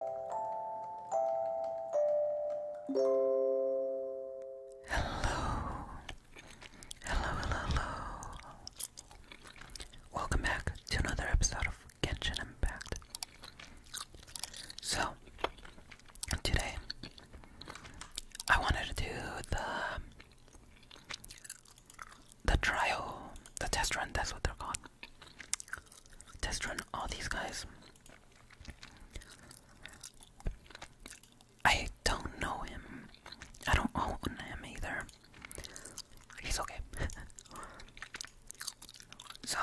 Hello. Hello, hello, Welcome back to another episode of Genshin Impact. So, today I wanted to do the the trial, the test run, that's what they're called test run all these guys. I don't know him. I don't own him either. He's okay. so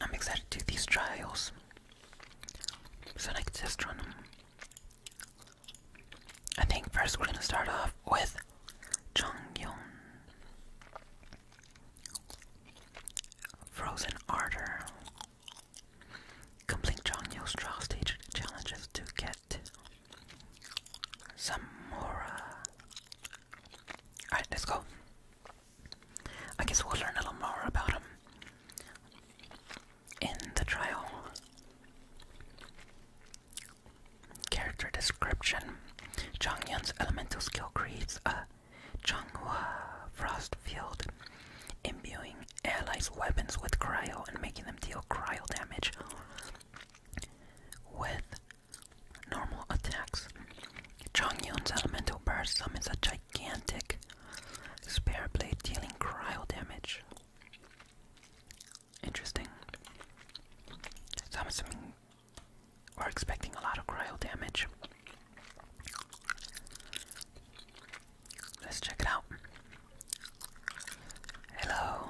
I'm excited to do these trials. So I can test run them. I think first we're gonna start off with Jung Yun. Frozen Ardor. Complete John Neil stage challenges to get some Alright, let's go. I guess we'll learn a little more about him in the trial. Character description. Chang elemental skill creates a Changhua frost field, imbuing allies' weapons with cryo and making them deal cryo damage with normal attacks. Chang elemental burst summons a gigantic spare blade dealing cryo damage. Interesting. Summoning we're expecting a lot of cryo damage. Let's check it out. Hello.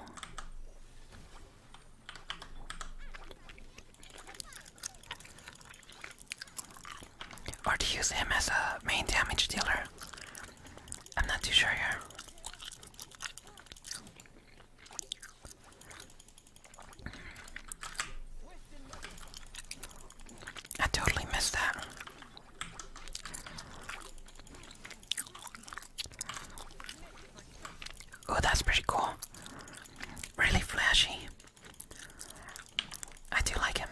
Or to use him as a main damage dealer. I'm not too sure here. I totally missed that. Oh, that's pretty cool. Really flashy. I do like him.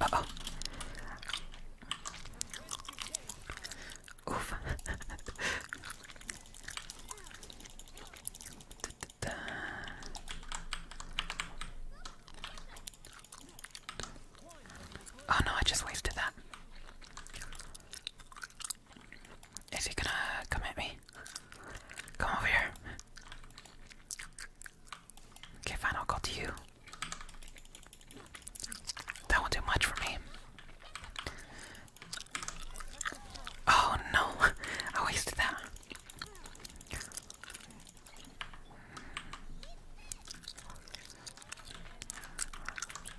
Uh oh. Oof. Oh no, I just wasted that. Is he gonna come at me? Come over here. Okay, fine, I'll go to you. That won't do much for me. Oh no, I wasted that.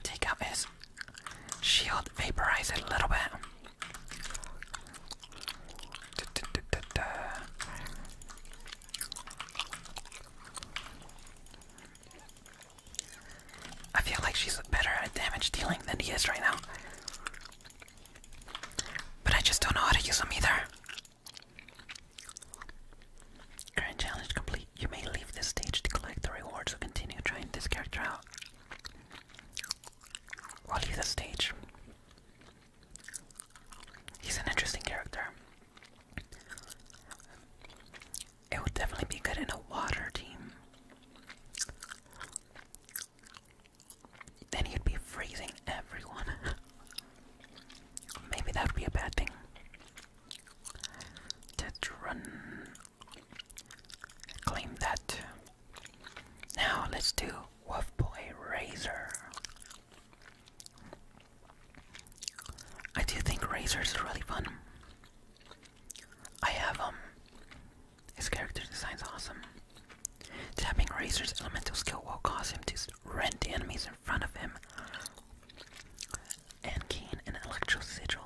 Take out his shield, vaporize it a little bit. I feel like she's better at damage dealing than he is right now. But I just don't know how to use them either. Current challenge complete. You may leave this stage to collect the rewards or continue trying this character out. I'll leave the stage. He's an interesting character. It would definitely be good in a water team. Then he'd be freezing everyone. Maybe that would be a bad thing. Tetron claim that. Now let's do Wolf Boy Razor. I do think Razor's really fun. I have um his character design's awesome. Tapping Razor's elemental skill will cause him to rent enemies in front of him and gain an electro sigil.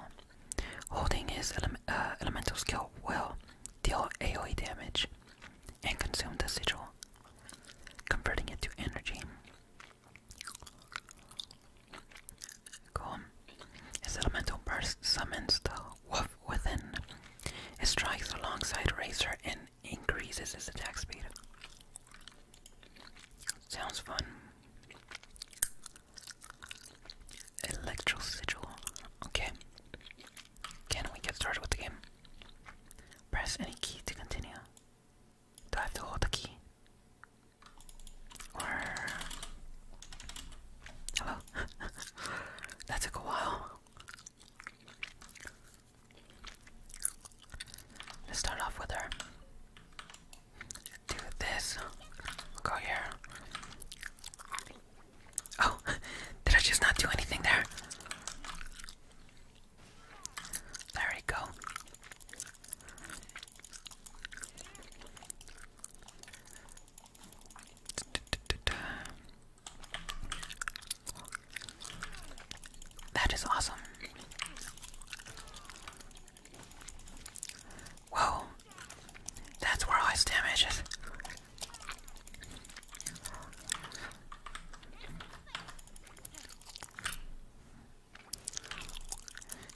Holding his uh, elemental skill will deal AoE damage and consume the sigil converting it to energy. Cool. His elemental burst summons the wolf within. It strikes alongside Razor and increases his attack speed. Sounds fun. Electro sigil. Okay. Can we get started with the game? Press any key to continue. Do I have to hold the key? Or. Hello? that took a while. Let's start off with her. Do this. Go here. Oh, did I just not do anything there? There we go. That is awesome. Whoa, that's where all damage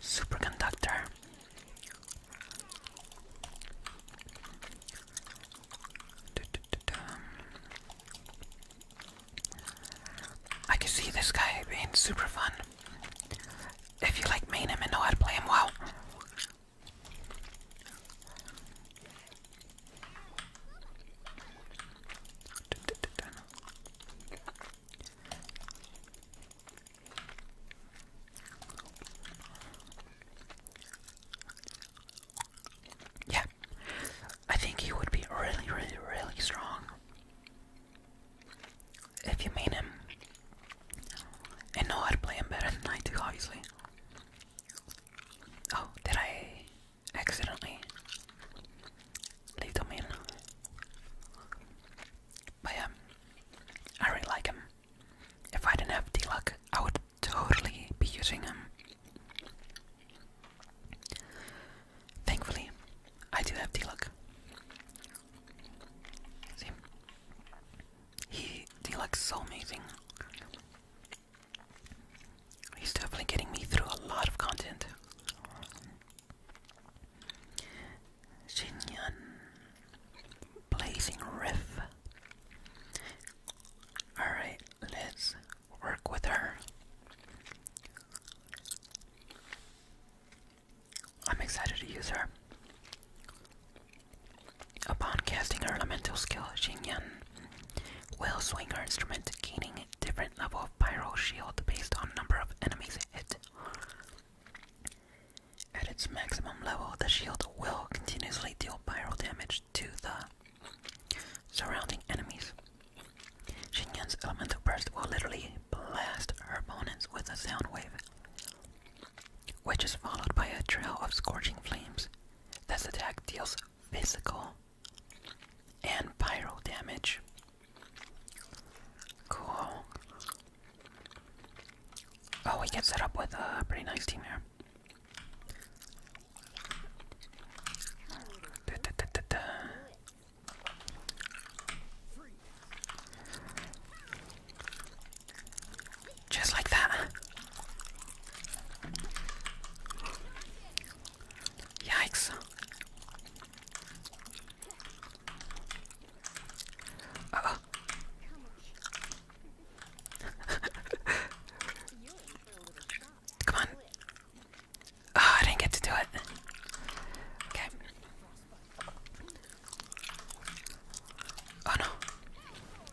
Superconductor. I can see this guy being super fun. If you like main him and know how to play him well, yeah, I think he would be really, really, really strong if you mean him and know I to play him better than I do, obviously. Oh, did I accidentally leave them in? But yeah, I really like him. If I didn't have D-Luck, I would totally be using him. Thankfully, I do have D-Luck. See? He D-Luck's so amazing. He's definitely getting me through a lot of content. Shinyan Blazing Riff. Alright, let's work with her. I'm excited to use her. Upon casting her elemental skill, Xingyan will swing her instrument, gaining different level of pyro shield based on number of enemies hit. At its maximum level, the shield will continuously deal pyro damage to the surrounding enemies. Xingyan's elemental burst will literally blast her opponents with a sound wave, which is followed by a trail of scorching flames this attack deals physical and pyro damage. Cool. Oh, we get set up with a pretty nice team here. Just like that. Yikes. Come on. Oh, I didn't get to do it. Okay. Oh no.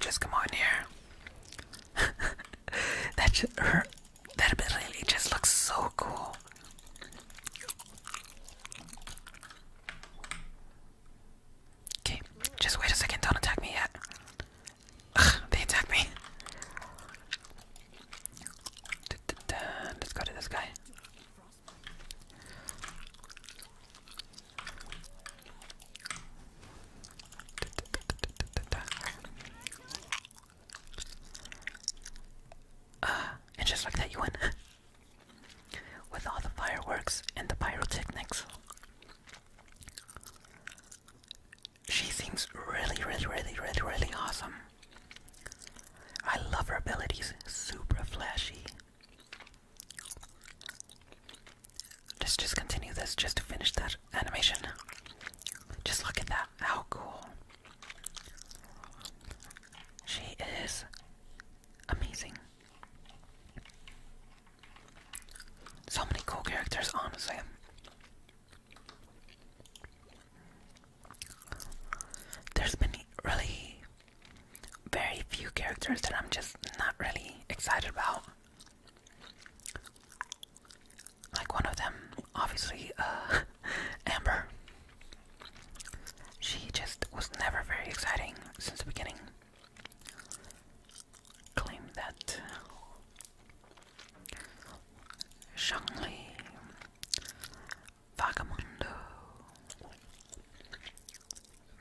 Just come on here. that just, her, that ability just looks so cool. Okay, just wait a second. Don't attack me yet. they attack me. Let's go to this guy. Uh, and just like that, you win. With all the fireworks and the pyrotechnics. She seems really, really, really, really, really awesome. I love her abilities, super flashy. Let's just continue this just to finish that animation. Just look at that, how cool. She is amazing. So many cool characters, honestly. There's been really very few characters that I'm just not really excited about. Like one of them, obviously, uh, Amber. She just was never very exciting since the beginning. Claim that Vagamundo.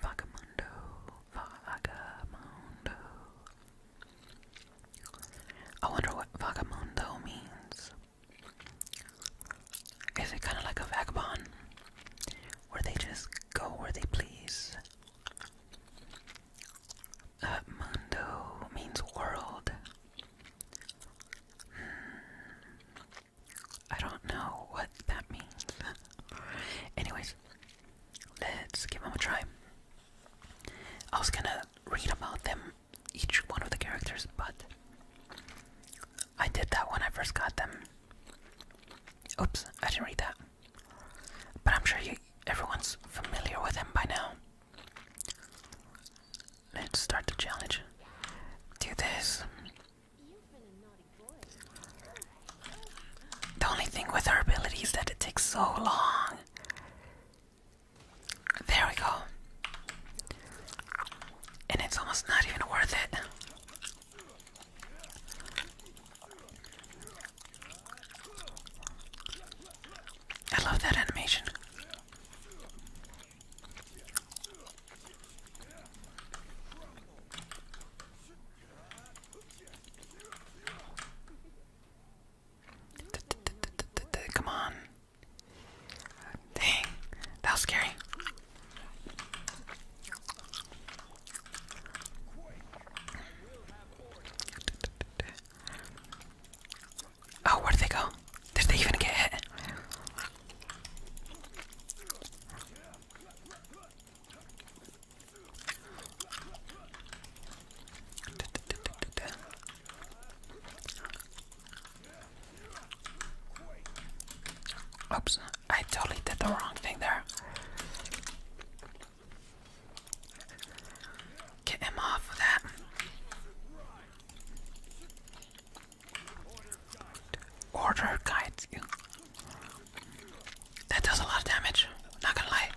Vagamundo. Vagamundo. I wonder what vagamundo means. Is it kind of like a vagabond? Where they just go where they please? Uh, mundo means world. I don't know what that means. Anyways, let's give them a try. I was gonna read about them, each one of the characters, but I did that when I first got them. Oops, I didn't read that. But I'm sure you, everyone's familiar with them by now. Let's start the challenge. Do this. The only thing with her ability that it takes so long. There we go. And it's almost not even worth it. I love that animation. Come on. Dang, that was scary. Oh, where did they go? Did they even get hit? Oops, I totally did the wrong thing there. Get him off of that. Order guides you. That does a lot of damage, not gonna lie.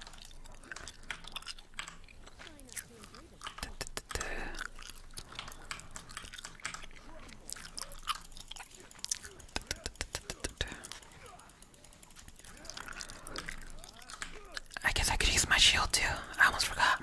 I guess I could use my shield too. I almost forgot.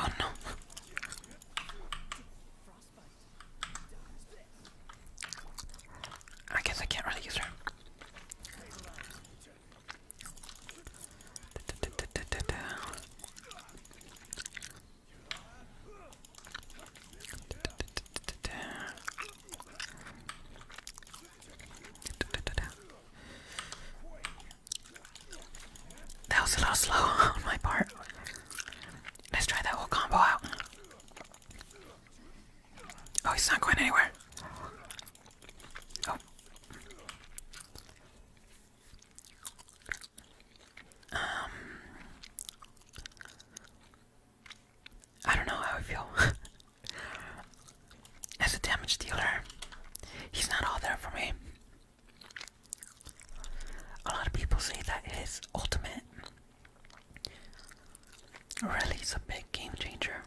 Oh no. I guess I can't really use her. That was a little slow on my part. Let's try that whole combo out. Oh, he's not going anywhere. Oh. Um. I don't know how I feel. as a damage dealer, he's not all there for me. A lot of people say that his ultimate really is a big game changer.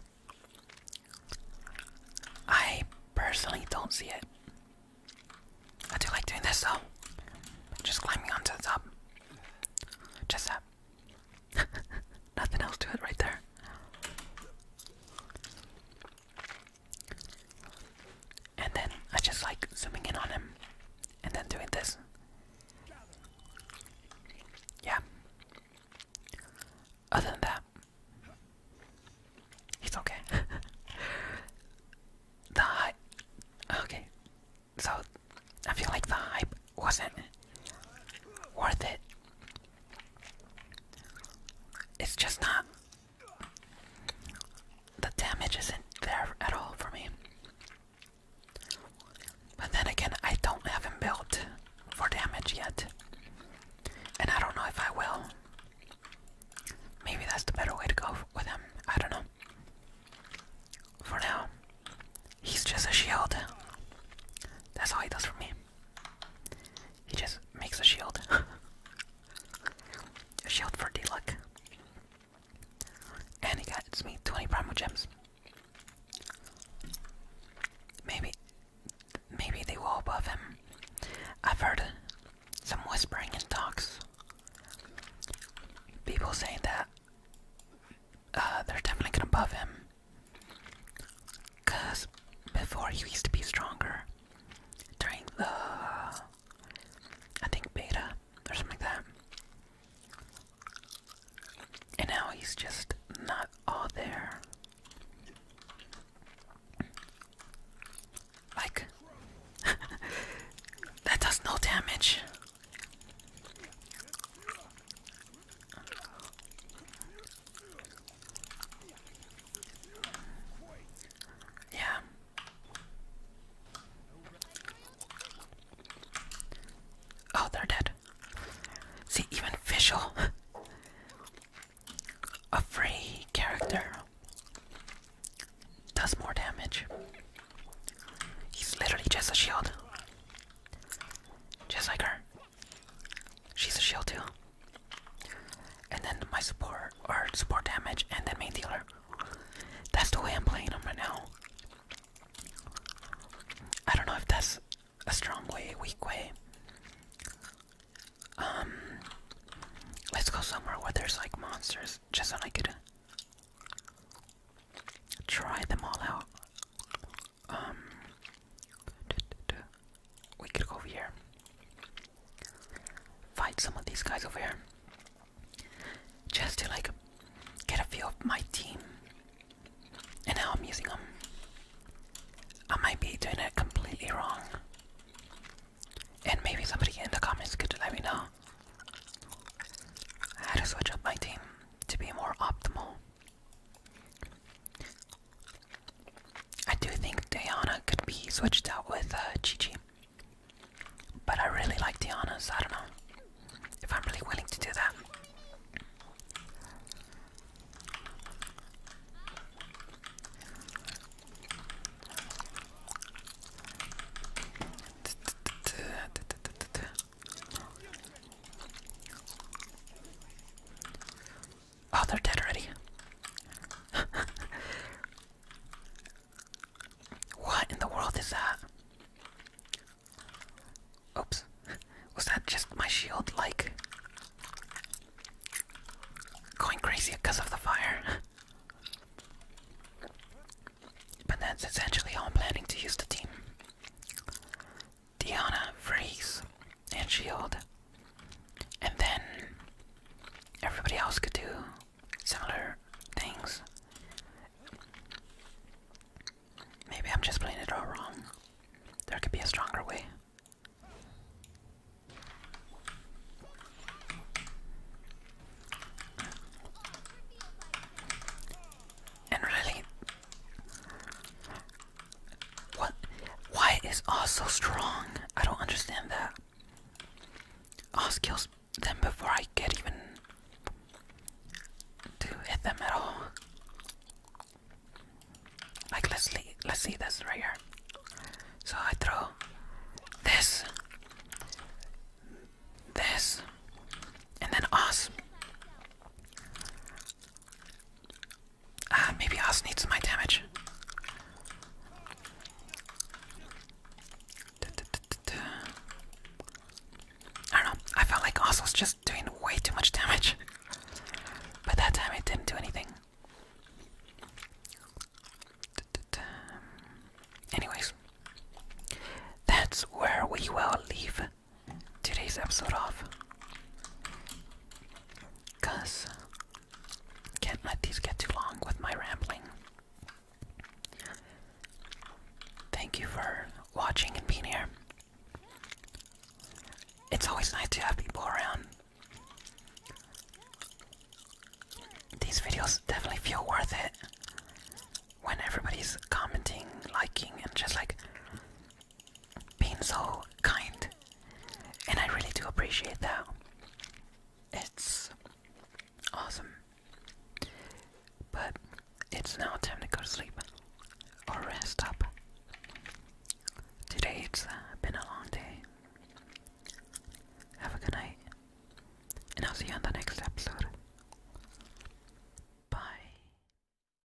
I personally don't see it. I do like doing this though. Just climbing onto the top. Just that. Nothing else to it right there. And then I just like zooming in on him and then doing this. Yeah. Other than that, he's okay. the hype. Okay. So I feel like the hype wasn't worth it it's just not. The damage isn't there at all for me. But then again, I don't have him built for damage yet. And I don't know if I will. Maybe that's the better way to go with him. I don't know. For now, he's just a shield. That's all he does for me. He just makes a shield. a shield for D luck. And he gets me 20 primal gems. Maybe maybe they will above him. I've heard some whispering and talks. People saying that uh, they're definitely gonna above him. Cause before he used to be stronger. During the I think beta or something like that. And now he's just not all there. Like that does no damage. Yeah. Oh, they're dead. See, even Fischl, a free character, does more damage. He's literally just a shield, just like her. She's a shield too. And then my support or support damage and then main dealer. That's the way I'm playing them right now. I don't know if that's a strong way, weak way. Um let's go somewhere where there's like monsters just so I could try them all out um, we could go over here, find some of these guys over here, just to like get a feel of my team and how I'm using them. I might be doing it completely wrong, and maybe somebody in the comments could let me know how to switch up my team to be more optimal. I do think Diana could be switched out with uh, Gigi. But I really like Diana, so I don't know if I'm really willing to do that. Oh, they're dead already. what in the world is that? Oops. Was that just my shield, like, going crazy because of the fire? but that's essentially all I'm planning to use the team. Diana Freeze and Shield. And then everybody else could do similar things. Maybe I'm just playing it all wrong. There could be a stronger way. And really, what? Why is Oz so strong? I don't understand that. Oz kills them before I get even to hit them at all. Like let's le let's see this right here. So I throw this, this, and then Oz. Ah, maybe Oz needs my damage. I don't know. I felt like Oz was just doing way too much damage. but that time didn't do anything. Anyways, that's where we will leave today's episode off. Cause can't let these get too long with my rambling. Thank you for watching and being here. It's always nice to have people around. These videos definitely feel worth it when everybody's commenting, liking, and just like being so kind, and I really do appreciate that. It's awesome, but it's now time to go to sleep or rest up. Today it's uh, been a long day. Have a good night, and I'll see you on the next episode. Bye.